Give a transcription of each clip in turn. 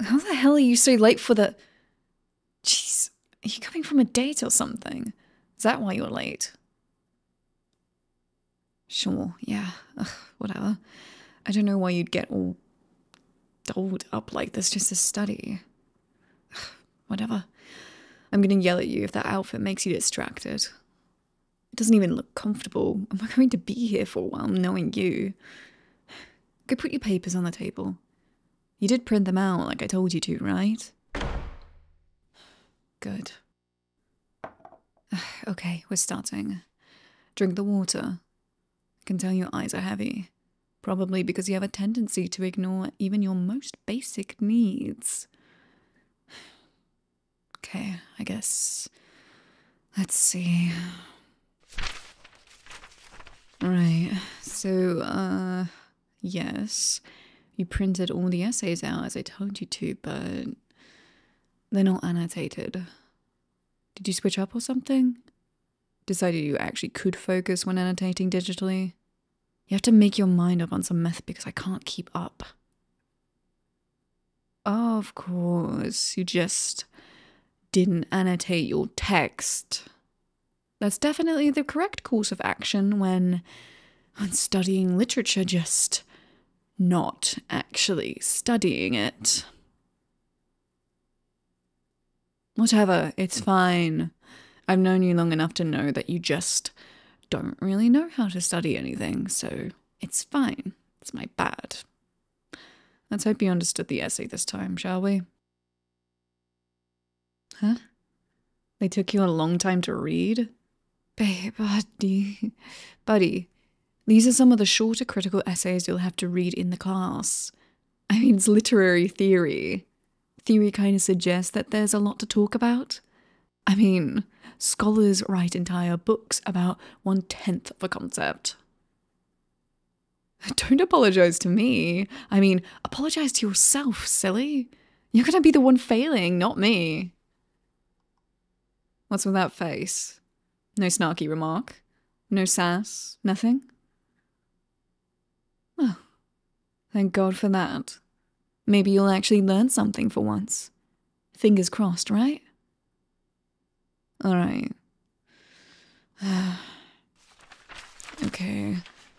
How the hell are you so late for the... Jeez, are you coming from a date or something? Is that why you're late? Sure, yeah, whatever. I don't know why you'd get all dolled up like this just to study. whatever. I'm gonna yell at you if that outfit makes you distracted. It doesn't even look comfortable. Am I going to be here for a while knowing you? Go put your papers on the table. You did print them out like I told you to, right? Good. Okay, we're starting. Drink the water. I can tell your eyes are heavy. Probably because you have a tendency to ignore even your most basic needs. Okay, I guess. Let's see. Right, so, uh, yes, you printed all the essays out as I told you to, but they're not annotated. Did you switch up or something? Decided you actually could focus when annotating digitally? You have to make your mind up on some method because I can't keep up of course. You just didn't annotate your text. That's definitely the correct course of action when, when studying literature, just not actually studying it. Whatever, it's fine. I've known you long enough to know that you just don't really know how to study anything, so it's fine. It's my bad. Let's hope you understood the essay this time, shall we? Huh? They took you a long time to read? buddy. Buddy, these are some of the shorter critical essays you'll have to read in the class. I mean, literary theory. Theory kind of suggests that there's a lot to talk about. I mean, scholars write entire books about one tenth of a concept. Don't apologize to me. I mean, apologize to yourself, silly. You're gonna be the one failing, not me. What's with that face? No snarky remark? No sass? Nothing? Well, oh, thank God for that. Maybe you'll actually learn something for once. Fingers crossed, right? Alright. okay.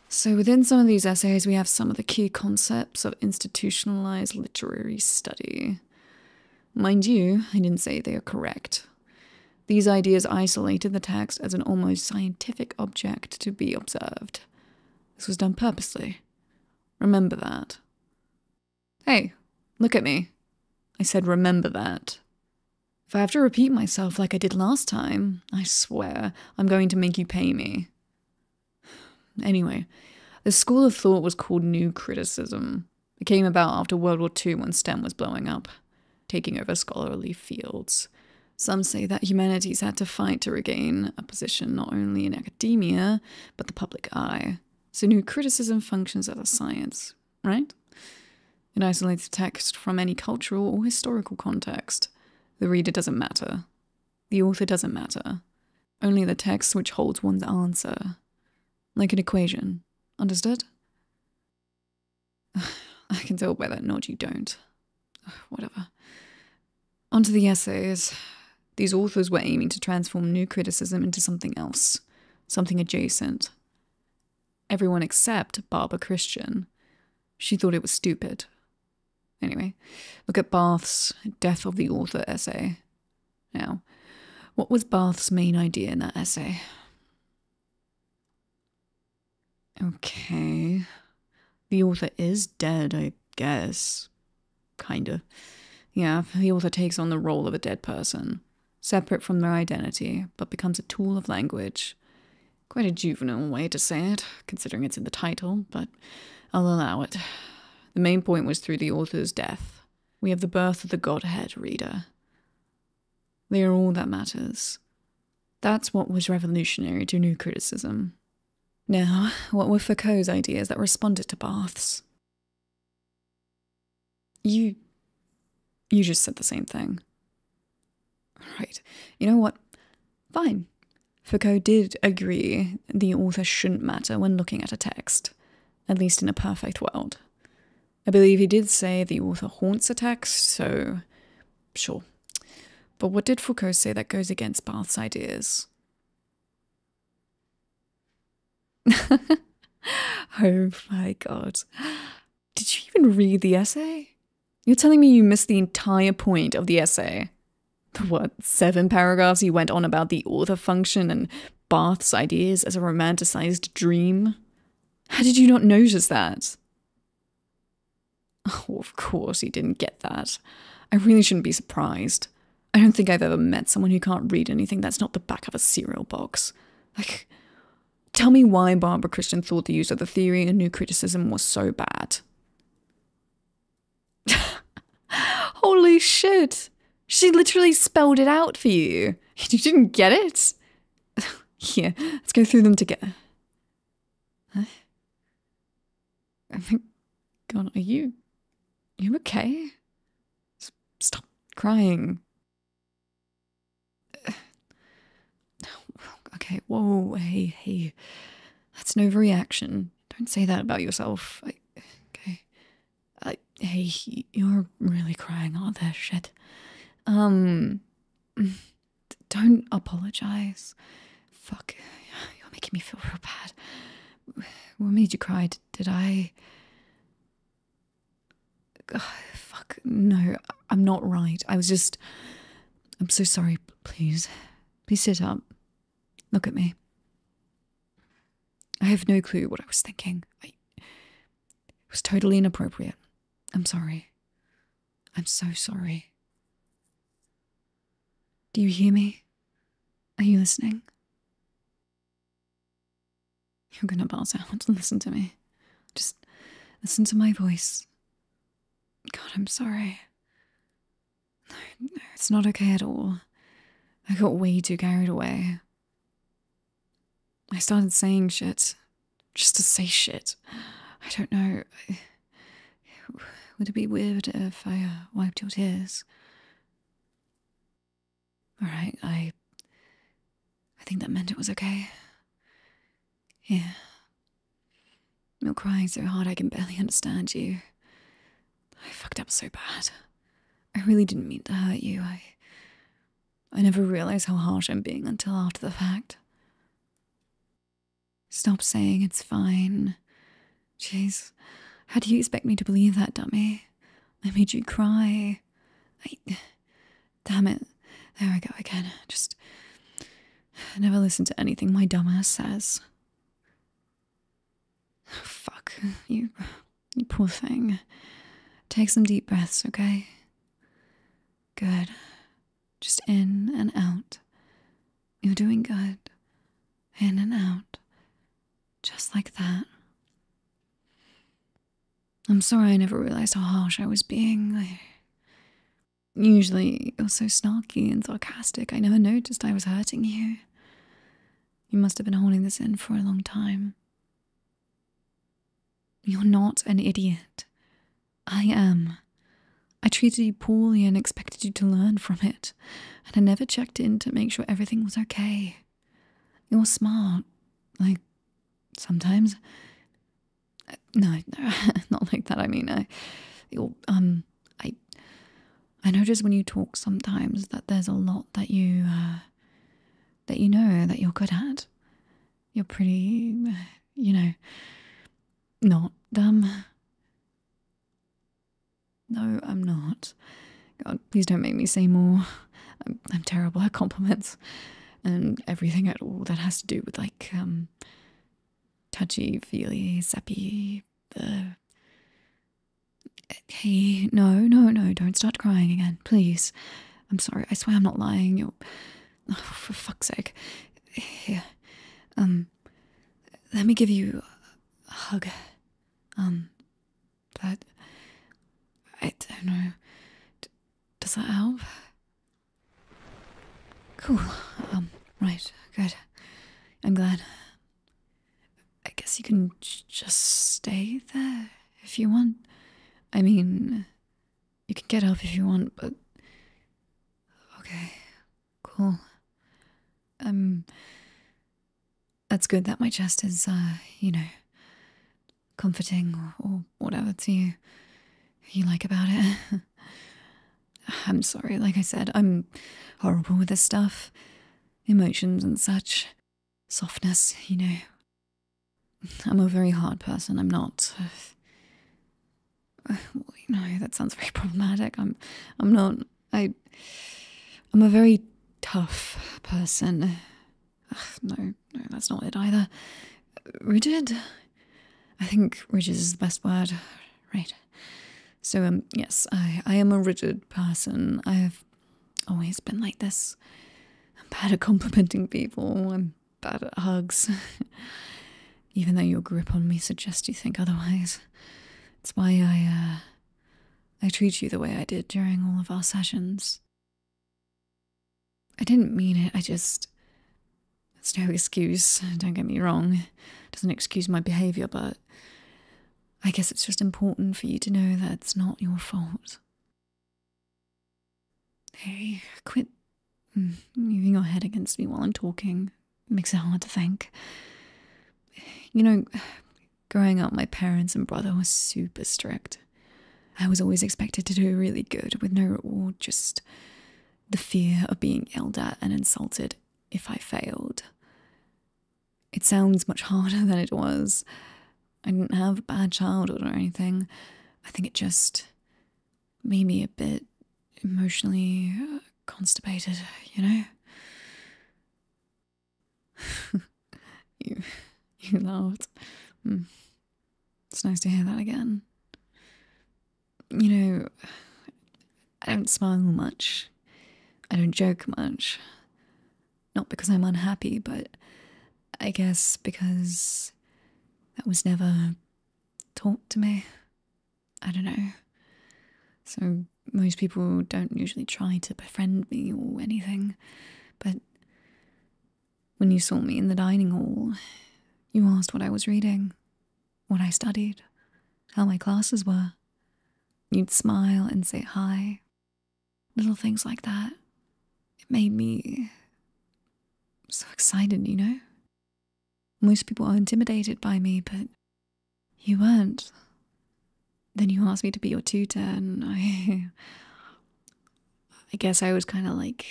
So within some of these essays, we have some of the key concepts of institutionalized literary study. Mind you, I didn't say they are correct. These ideas isolated the text as an almost scientific object to be observed. This was done purposely. Remember that. Hey, look at me. I said, remember that. If I have to repeat myself like I did last time, I swear I'm going to make you pay me. Anyway, the school of thought was called New Criticism. It came about after World War II when STEM was blowing up, taking over scholarly fields. Some say that humanities had to fight to regain a position not only in academia, but the public eye. So new criticism functions as a science, right? It isolates the text from any cultural or historical context. The reader doesn't matter. The author doesn't matter. Only the text which holds one's answer. Like an equation. Understood? I can tell by that nod you don't. Whatever. Onto the essays. These authors were aiming to transform new criticism into something else, something adjacent. Everyone except Barbara Christian. She thought it was stupid. Anyway, look at Bath's Death of the Author essay. Now, what was Bath's main idea in that essay? Okay. The author is dead, I guess. Kinda. Yeah, the author takes on the role of a dead person separate from their identity, but becomes a tool of language. Quite a juvenile way to say it, considering it's in the title, but I'll allow it. The main point was through the author's death. We have the birth of the Godhead reader. They are all that matters. That's what was revolutionary to new criticism. Now, what were Foucault's ideas that responded to Barth's? You. You just said the same thing. Right. You know what? Fine. Foucault did agree the author shouldn't matter when looking at a text, at least in a perfect world. I believe he did say the author haunts a text, so sure. But what did Foucault say that goes against Barth's ideas? oh my god. Did you even read the essay? You're telling me you missed the entire point of the essay. The what, seven paragraphs you went on about the author function and Barth's ideas as a romanticized dream? How did you not notice that? Oh, of course he didn't get that. I really shouldn't be surprised. I don't think I've ever met someone who can't read anything that's not the back of a cereal box. Like, tell me why Barbara Christian thought the use of the theory and new criticism was so bad. Holy shit! She literally spelled it out for you. You didn't get it? Yeah, let's go through them together. Huh? I think, gone. are you, you okay? Stop crying. Okay, whoa, hey, hey. That's an overreaction. Don't say that about yourself. okay. hey, you're really crying all this shit. Um, don't apologize. Fuck, you're making me feel real bad. What made you cry? Did I? fuck, no, I'm not right. I was just. I'm so sorry, please. Please sit up. Look at me. I have no clue what I was thinking. it was totally inappropriate. I'm sorry. I'm so sorry. Do you hear me? Are you listening? You're gonna bounce out. Listen to me. Just listen to my voice. God, I'm sorry. No, it's not okay at all. I got way too carried away. I started saying shit. Just to say shit. I don't know. would it be weird if I uh, wiped your tears? All right, I. I think that meant it was okay. Yeah. You're crying so hard I can barely understand you. I fucked up so bad. I really didn't mean to hurt you. I. I never realize how harsh I'm being until after the fact. Stop saying it's fine. Jeez, how do you expect me to believe that, dummy? I made you cry. I. Damn it. There I go again. Just. Never listen to anything my dumbass says. fuck. You. You poor thing. Take some deep breaths, okay? Good. Just in and out. You're doing good. In and out. Just like that. I'm sorry I never realized how harsh I was being. I usually you're so snarky and sarcastic, I never noticed I was hurting you. You must have been holding this in for a long time. You're not an idiot. I am. I treated you poorly and expected you to learn from it, and I never checked in to make sure everything was okay. You're smart. Like, sometimes. No, not like that. I mean, I, you'll, um, I, I notice when you talk sometimes that there's a lot that you, uh, that you know that you're good at. You're pretty, you know, not dumb. No, I'm not. God, please don't make me say more. I'm, terrible at compliments and everything at all that has to do with like, um, touchy, feely, sappy. Uh, hey, no, no, no, don't start crying again, please. I'm sorry, I swear I'm not lying. you oh, for fuck's sake. Here. Um. Let me give you a hug. Um. That. I don't know. does that help? Cool. Um, right, good. I'm glad. I guess you can just stay there if you want. I mean, you can get help if you want, but. Okay, cool. Um. That's good that my chest is, uh, you know, comforting or, whatever to you you like about it. I'm sorry, like I said, I'm horrible with this stuff. Emotions and such. Softness, you know. I'm a very hard person. I'm not. Uh, that sounds very problematic. I'm. I'm not. I. I'm a very tough person. No, no, that's not it either. Rigid? I think rigid is the best word. Right. So, um, yes, I, I am a rigid person. I have always been like this. I'm bad at complimenting people. I'm bad at hugs. Even though your grip on me suggests you think otherwise. It's why I, uh, I treat you the way I did during all of our sessions. I didn't mean it, I just. It's no excuse, don't get me wrong. It doesn't excuse my behaviour, but I guess it's just important for you to know that it's not your fault. Hey, quit mm, moving your head against me while I'm talking. It makes it hard to think. You know, Growing up, my parents and brother were super strict. I was always expected to do really good with no reward, just the fear of being yelled at and insulted if I failed. It sounds much harder than it was. I didn't have a bad childhood or anything. I think it just made me a bit emotionally constipated, you know? you, you laughed. Hmm. It's nice to hear that again. You know, I don't smile much. I don't joke much. Not because I'm unhappy, but I guess because that was never taught to me. I don't know. So most people don't usually try to befriend me or anything, but when you saw me in the dining hall, you asked what I was reading, what I studied, how my classes were. You'd smile and say hi. Little things like that. It made me so excited, you know? Most people are intimidated by me, but you weren't. Then you asked me to be your tutor, and I. I guess I was kind of like,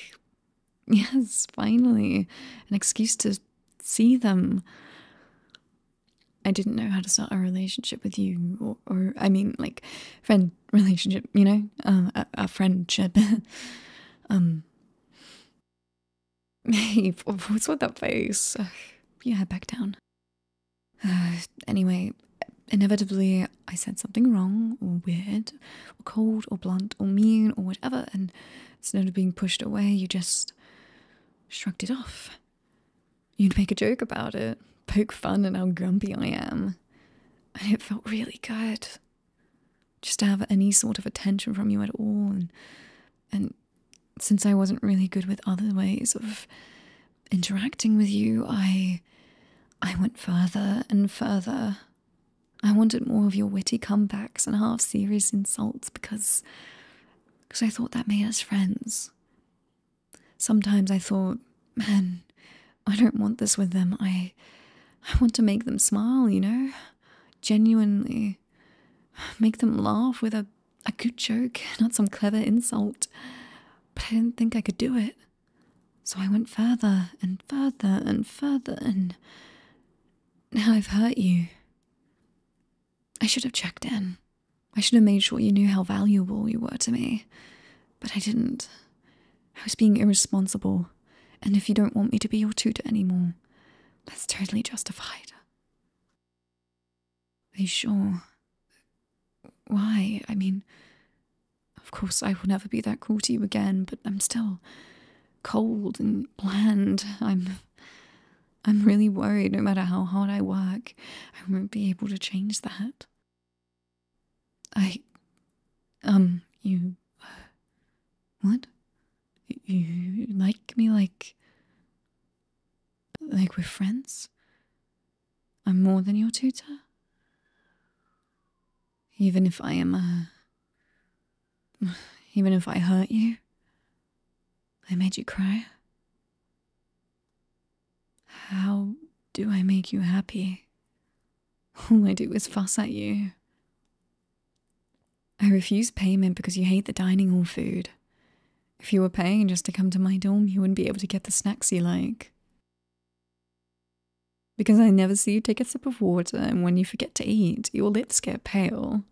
yes, finally, an excuse to see them. I didn't know how to start a relationship with you, or, I mean, like, friend relationship, you know, um, a, friendship. um, hey, what's with that face? Uh, yeah, back down. anyway, inevitably I said something wrong or weird or cold or blunt or mean or whatever, and instead of being pushed away, you just shrugged it off. You'd make a joke about it, poke fun at how grumpy I am, and it felt really good. Just to have any sort of attention from you at all, and, and since I wasn't really good with other ways of interacting with you, I I went further and further. I wanted more of your witty comebacks and half serious insults because because I thought that made us friends. Sometimes I thought, man, I don't want this with them. I I want to make them smile, you know? Genuinely make them laugh with a a good joke, not some clever insult. But I didn't think I could do it. So I went further and further and further, and now I've hurt you. I should have checked in. I should have made sure you knew how valuable you were to me. But I didn't. I was being irresponsible, and if you don't want me to be your tutor anymore, that's totally justified. Are you sure? Why? I mean, of course, I will never be that cool to you again, but I'm still cold and bland. I'm. I'm really worried no matter how hard I work, I won't be able to change that. I. Um, you. what? You like me like. like we're friends? I'm more than your tutor? Even if I am a. Even if I hurt you? I made you cry? How do I make you happy? All I do is fuss at you. I refuse payment because you hate the dining hall food. If you were paying just to come to my dorm, you wouldn't be able to get the snacks you like. Because I never see you take a sip of water, and when you forget to eat, your lips get pale.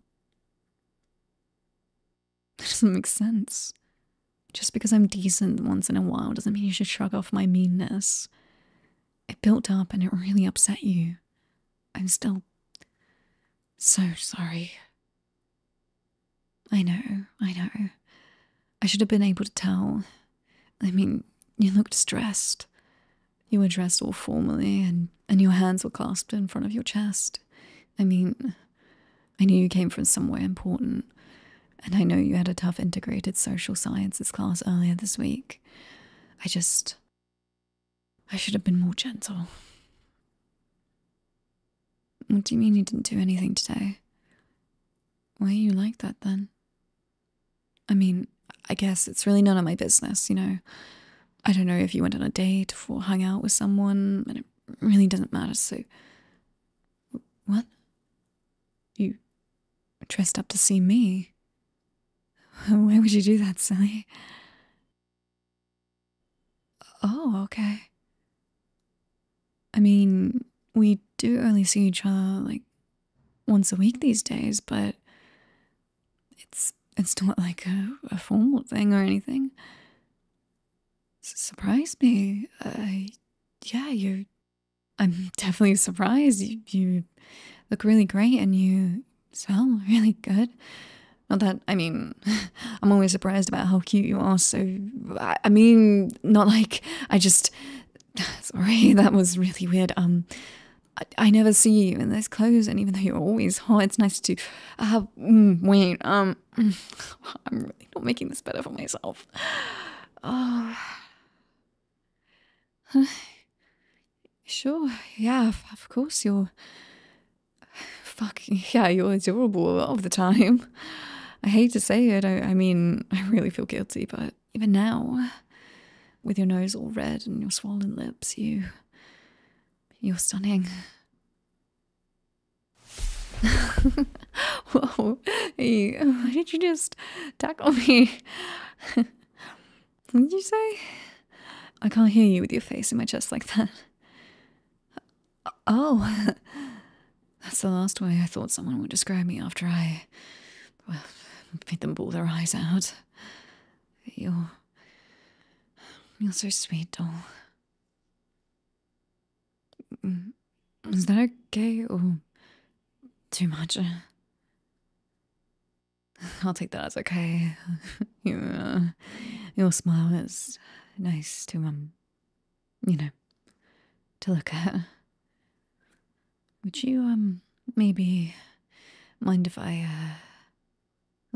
That doesn't make sense. Just because I'm decent once in a while doesn't mean you should shrug off my meanness. It built up and it really upset you. I'm still so sorry. I know, I know. I should have been able to tell. I mean, you looked stressed. You were dressed all formally and, and your hands were clasped in front of your chest. I mean, I knew you came from somewhere important, and I know you had a tough integrated social sciences class earlier this week. I just. I should have been more gentle. What do you mean you didn't do anything today? Why are you like that then? I mean, I guess it's really none of my business, you know. I don't know if you went on a date or hung out with someone, and it really doesn't matter, so. What? You dressed up to see me? Why would you do that, silly? Oh, okay. I mean, we do only see each other like once a week these days, but it's it's not like a, formal thing or anything. Surprised me. Uh, yeah, you're. I'm definitely surprised. You, look really great and you smell really good. Not that, I mean, I'm always surprised about how cute you are, so I mean, not like I just sorry, that was really weird. Um, I, I never see you in those clothes, and even though you're always hot, it's nice to. Uh, wait, um, I'm really not making this better for myself. Oh. Sure, yeah, of course you're. Fuck, yeah, you're adorable a lot of the time. I hate to say it, I, I mean, I really feel guilty, but even now, with your nose all red and your swollen lips, you. You're stunning. Whoa, hey, why did you just tackle me? what did you say? I can't hear you with your face in my chest like that. Oh, That's the last way I thought someone would describe me after I, well, made them bawl their eyes out. You're. You're so sweet, doll. Mm, is that okay or too much? I'll take that as okay. your, your smile is nice to, um, you know, to look at. Would you, um, maybe mind if I, uh,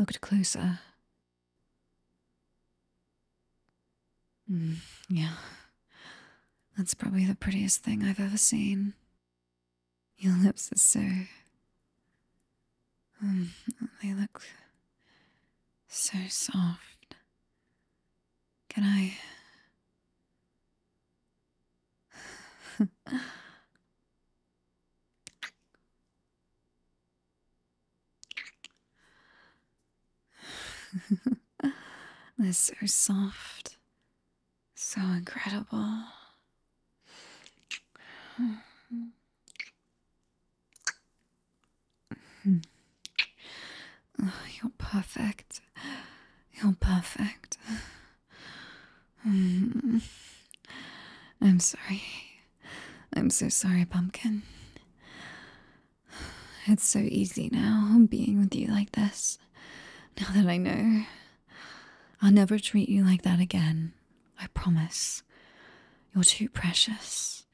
looked closer? Mm, yeah. That's probably the prettiest thing I've ever seen. Your lips are so. Um, they look so soft can I? They're so soft, so incredible. You're perfect. You're perfect. Mm. I'm sorry. I'm so sorry, Pumpkin. It's so easy now being with you like this. Now that I know, I'll never treat you like that again. I promise. You're too precious.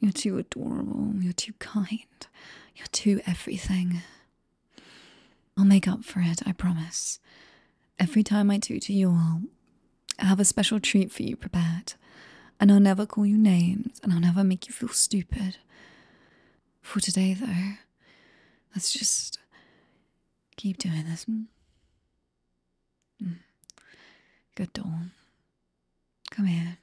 You're too adorable. You're too kind. You're too everything. I'll make up for it, I promise. Every time I tutor you all, I have a special treat for you prepared, and I'll never call you names, and I'll never make you feel stupid. For today, though, let's just keep doing this. Mm. Mm. Good doll. Come here.